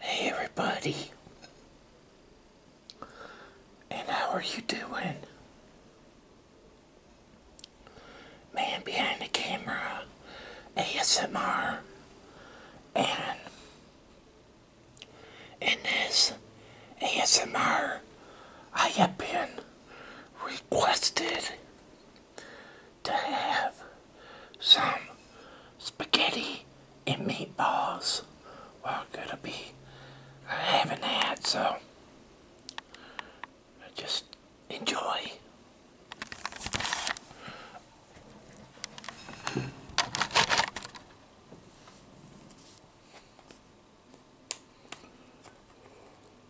Hey everybody, and how are you doing? Man behind the camera, ASMR, and in this ASMR, I have been requested to have some spaghetti and meatballs. Well, gonna be having that, so I just enjoy.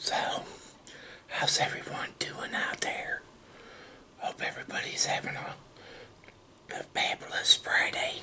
So, how's everyone doing out there? Hope everybody's having a a fabulous Friday.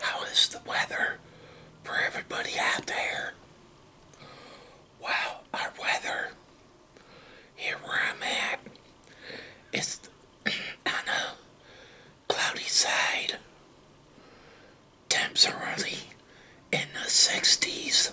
How is the weather for everybody out there? Well, our weather here where I'm at is on a cloudy side. Temps are only in the 60s.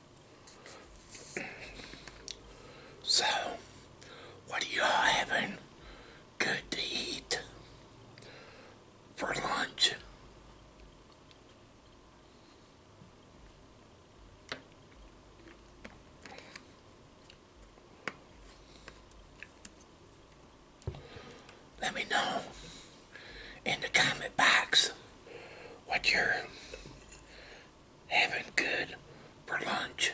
So, what are y'all having good to eat for lunch? Let me know in the comment box what you're having good for lunch.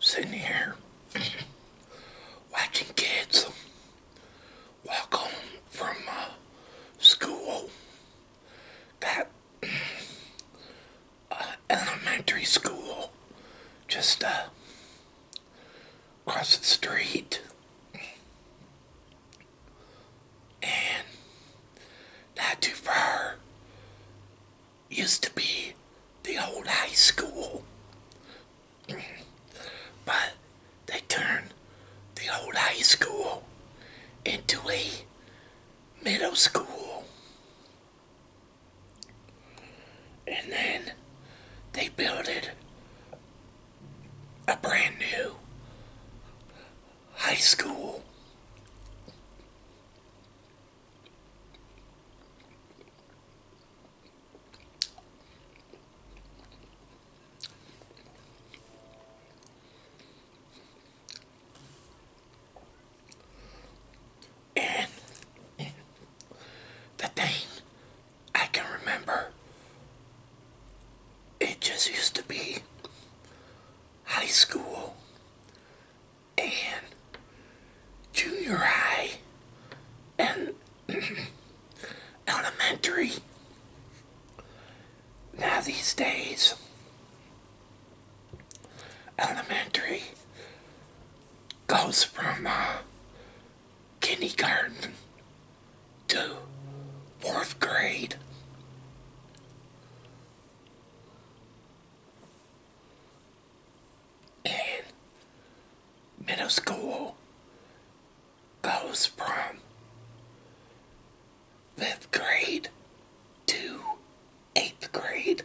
sitting here watching kids walk home from uh, school. Got uh, elementary school just uh, across the street. And not too far used to be the old high school. but they turned the old high school into a middle school. And then they built a brand new high school the thing I can remember, it just used to be high school and junior high and elementary. Now these days, elementary goes from uh, kindergarten to fourth grade and middle school goes from fifth grade to eighth grade.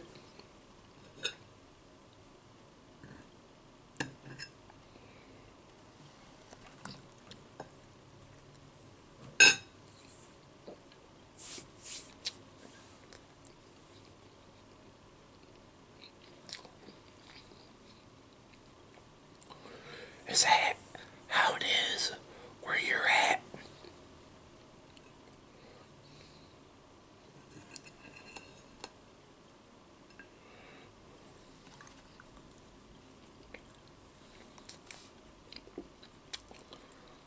Is that how it is where you're at?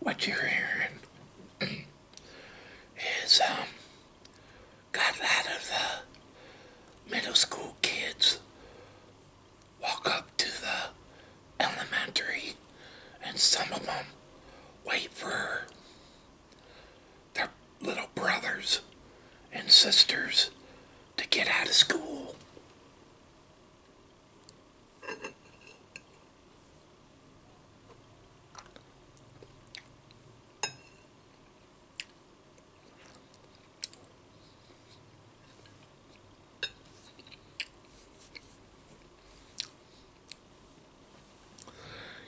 what you're hearing is um, got a lot of the uh, middle school kids walk up to the elementary and some of them wait for their little brothers and sisters to get out of school.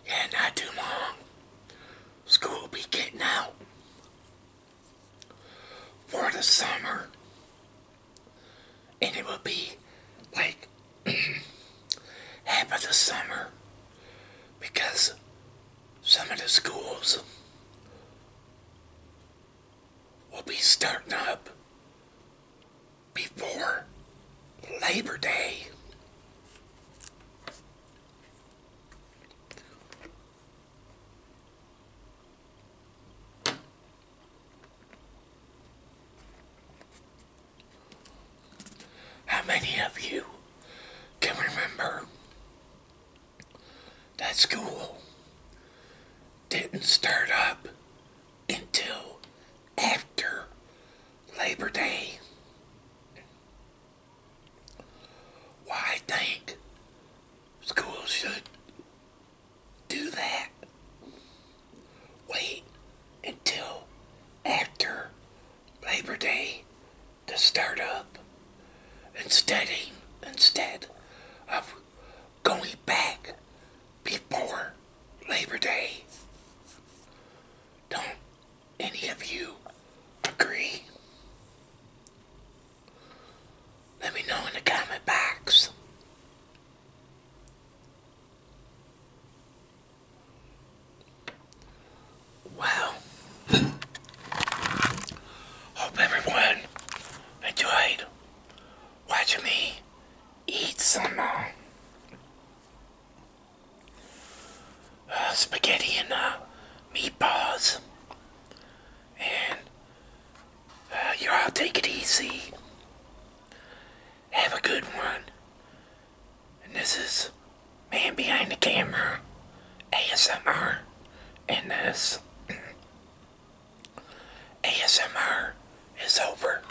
Yeah, not too long school will be getting out for the summer. And it will be like half of the summer because some of the schools will be starting up before Labor Day. How many of you can remember that school didn't start up until after Labor Day? Why I think schools should do that. Wait until after Labor Day to start up instead instead of going back before Labor Day. do any of you agree? Let me know in the comment box. Wow. Hope everyone enjoyed watching me eat some uh, spaghetti and uh, meatballs. And uh, you all take it easy. Have a good one. And this is Man Behind the Camera, ASMR, and this ASMR is over.